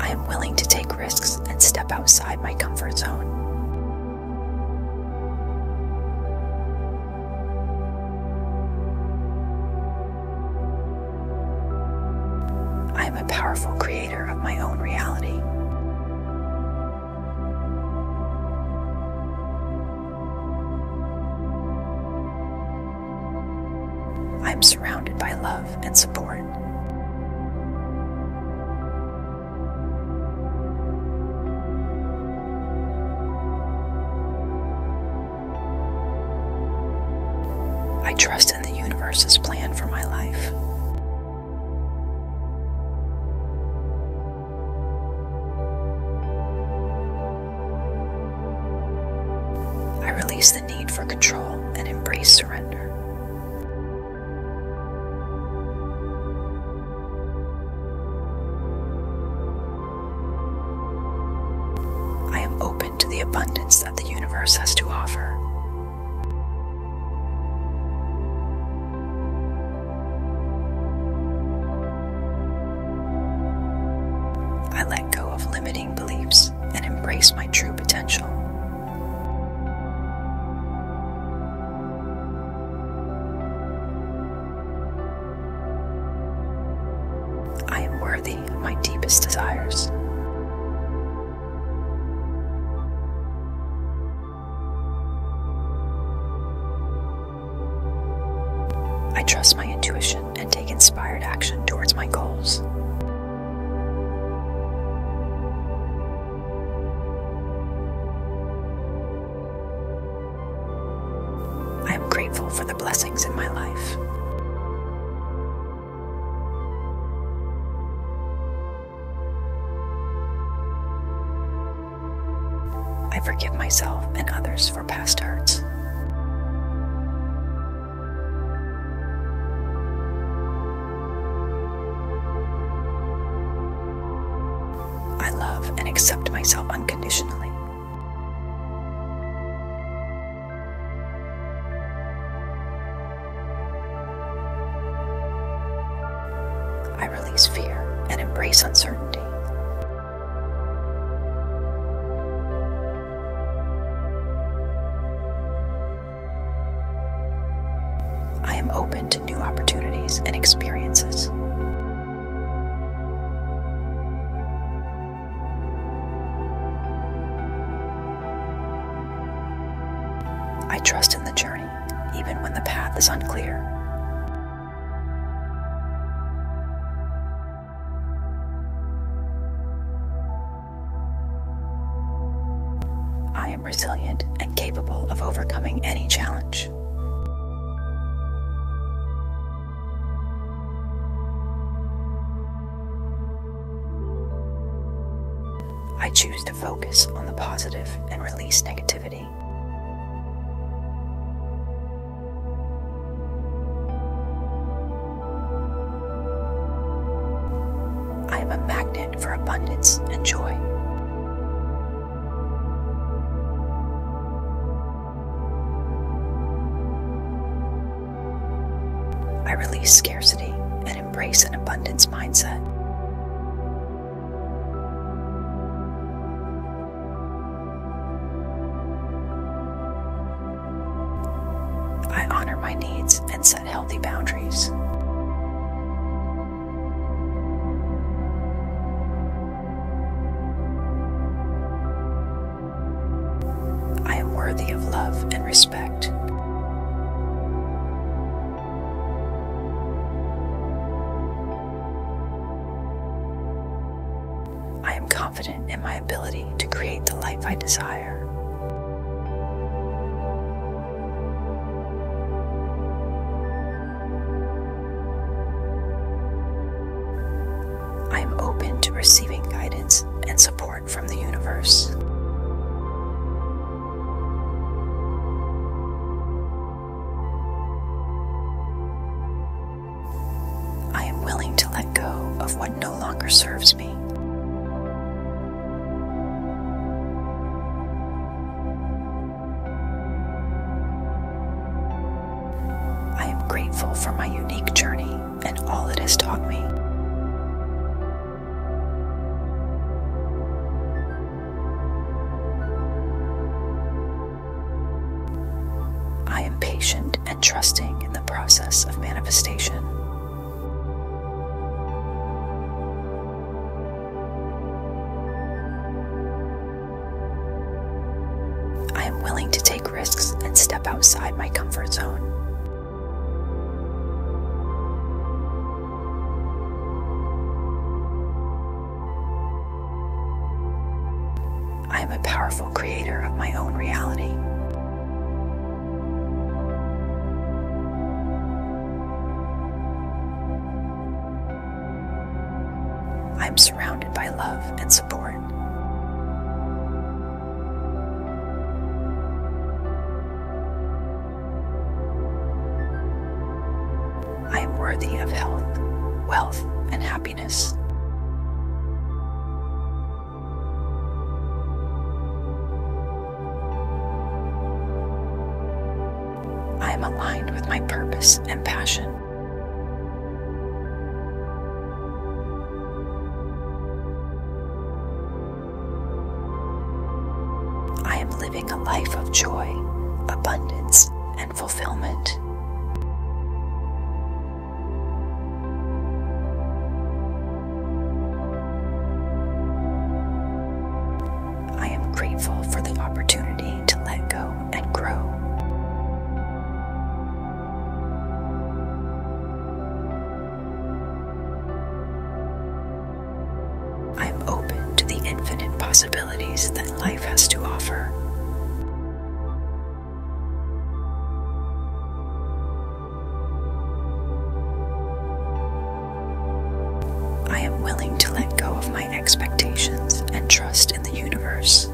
I am willing to take risks and step outside my comfort zone. I am a powerful creator of my own reality. I am surrounded by love and support. I trust in the universe's plan for my life. I release the need for control and embrace surrender. I am open to the abundance that the universe has to offer. I let go of limited beliefs and embrace my true potential. I am worthy of my deepest desires. I trust my intuition and take inspired action towards my goals. I am grateful for the blessings in my life. I forgive myself and others for past hurts. I love and accept myself unconditionally. I release fear and embrace uncertainty. I am open to new opportunities and experiences. I trust in the journey, even when the path is unclear. I am resilient and capable of overcoming any challenge. I choose to focus on the positive and release negativity. I am a magnet for abundance and joy. I release scarcity and embrace an abundance mindset. I honor my needs and set healthy boundaries. I am worthy of love and respect. I am calm confident in my ability to create the life I desire. I am open to receiving guidance and support from the universe. I am willing to let go of what no longer serves me. I am grateful for my unique journey and all it has taught me. I am patient and trusting in the process of manifestation. I am willing to take risks and step outside my comfort zone. I am a powerful creator of my own reality. I am surrounded by love and support. I am worthy of health, wealth, and happiness. I am aligned with my purpose and passion. I am living a life of joy, abundance, and fulfillment. I am grateful for the opportunity to let go and grow. I am open to the infinite possibilities that life has to offer. I am willing to let go of my expectations and trust in the universe.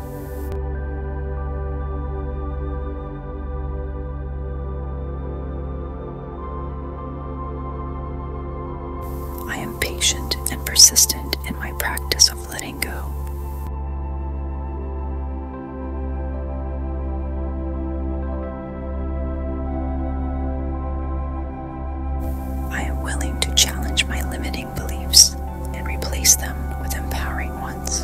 I am patient and persistent in my practice of letting go. I am willing to challenge my limiting beliefs and replace them with empowering ones.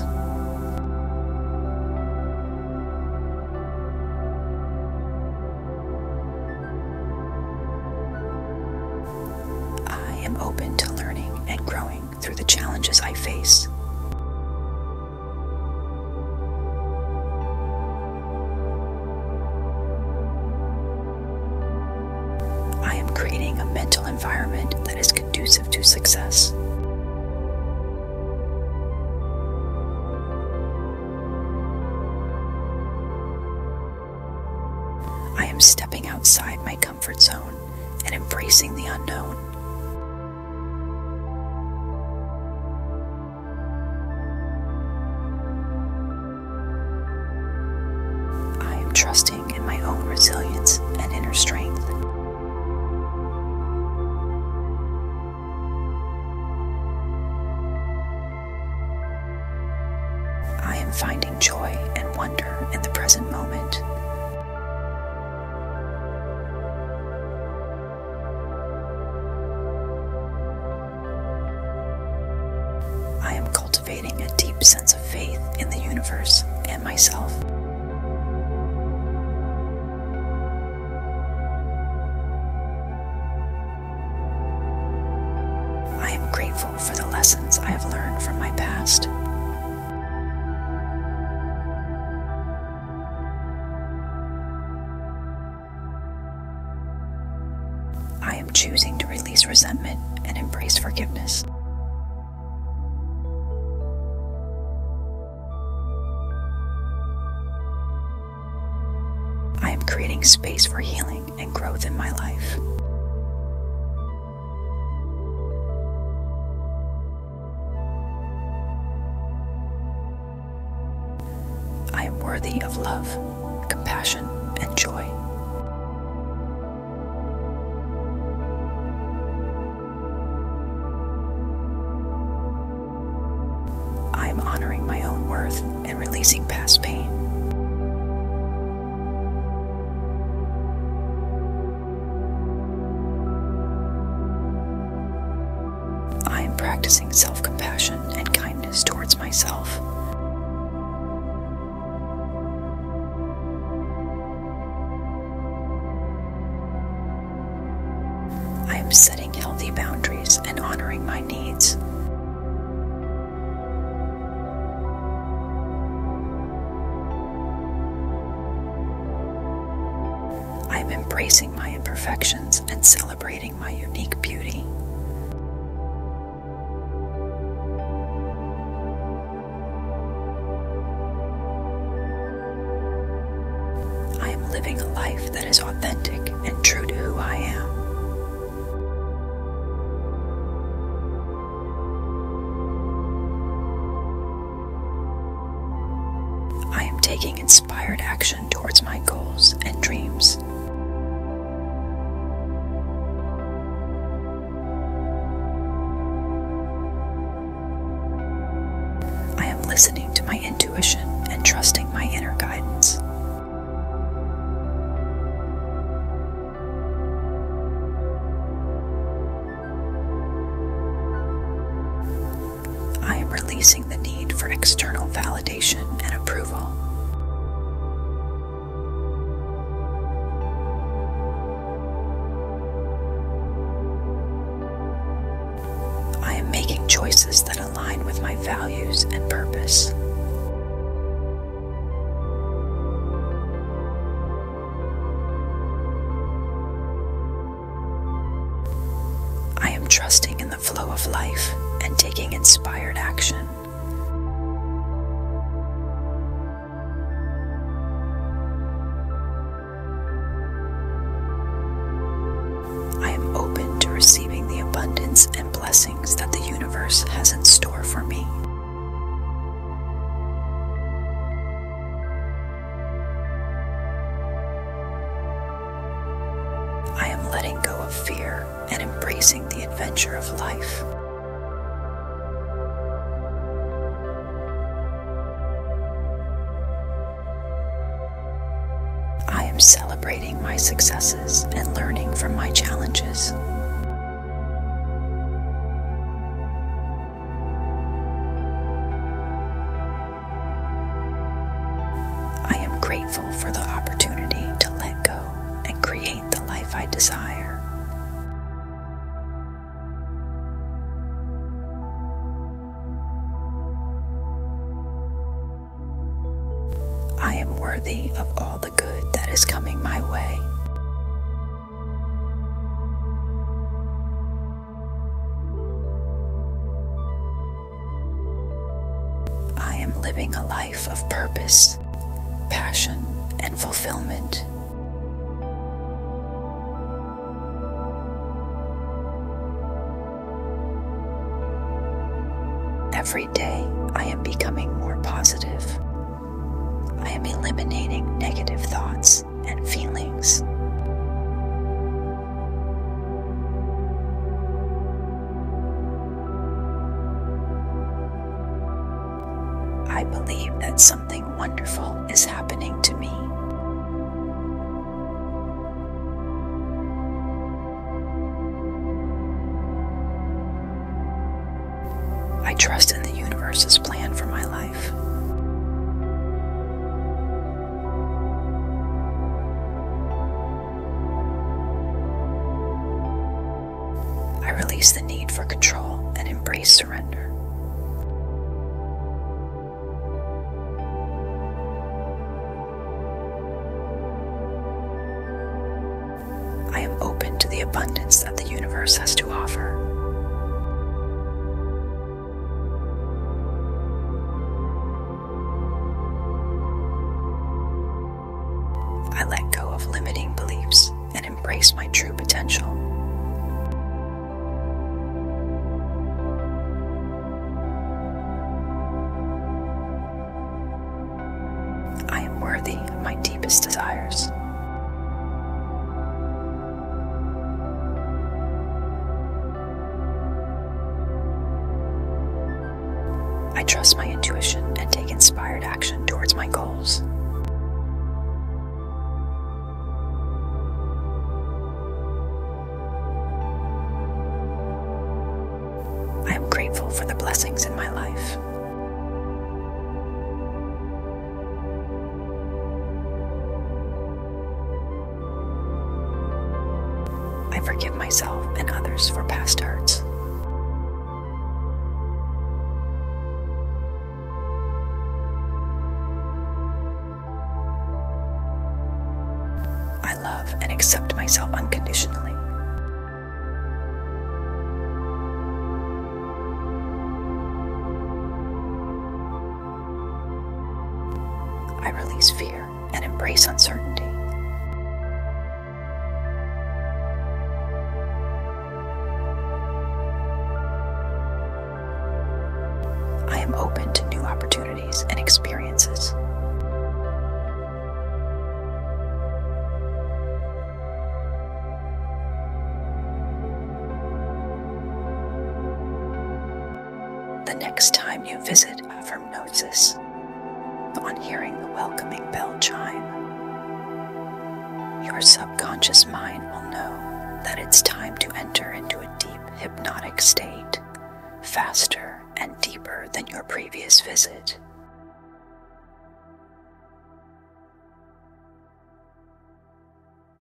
I am open to learning and growing through the challenges I face. I am creating a mental environment that is conducive to success. I am stepping outside my comfort zone and embracing the unknown. I am trusting in my own resilience and inner strength. I am finding joy and wonder in the present moment. I am cultivating a deep sense of faith in the universe and myself. I am grateful for the lessons I have learned from my past. I am choosing to release resentment and embrace forgiveness. I am creating space for healing and growth in my life. I am worthy of love, compassion, and joy. I am honoring my own worth and releasing past pain. I am practicing self compassion and kindness towards myself. I am setting healthy boundaries and honoring my needs. I am embracing my imperfections and celebrating my unique beauty. I am living a life that is authentic and true to who I am. I am taking inspired action towards my goals and dreams. I am listening to my intuition and trusting my inner guidance. I am releasing the need for external validation and approval. I am making choices that align with my values and purpose. I am trusting in the flow of life and taking inspired action. I am open to receiving the abundance and blessings that the universe has in store for me. I am letting go of fear and embracing the adventure of life. I am celebrating my successes and learning from my challenges. I am grateful for the opportunity to let go and create the life I desire. I am worthy of all the good that is coming my way. I am living a life of purpose, passion, and fulfillment. Every day, I am becoming more positive. I am eliminating negative thoughts and feelings. I believe that something wonderful is happening to me. I trust in the universe's plan for my life. I release the need for control and embrace surrender. I am open to the abundance that the universe has to offer. I let go of limiting beliefs and embrace my true potential. I am worthy of my deepest desires. I trust my intuition and take inspired action towards my goals. I am grateful for the blessings in my life. I forgive myself and others for past hurts. I love and accept myself unconditionally. I release fear and embrace uncertainty. I am open to new opportunities and experiences. The next time you visit Avramnosis, on hearing the welcoming bell chime, your subconscious mind will know that it's time to enter into a deep hypnotic state, faster and deeper than your previous visit.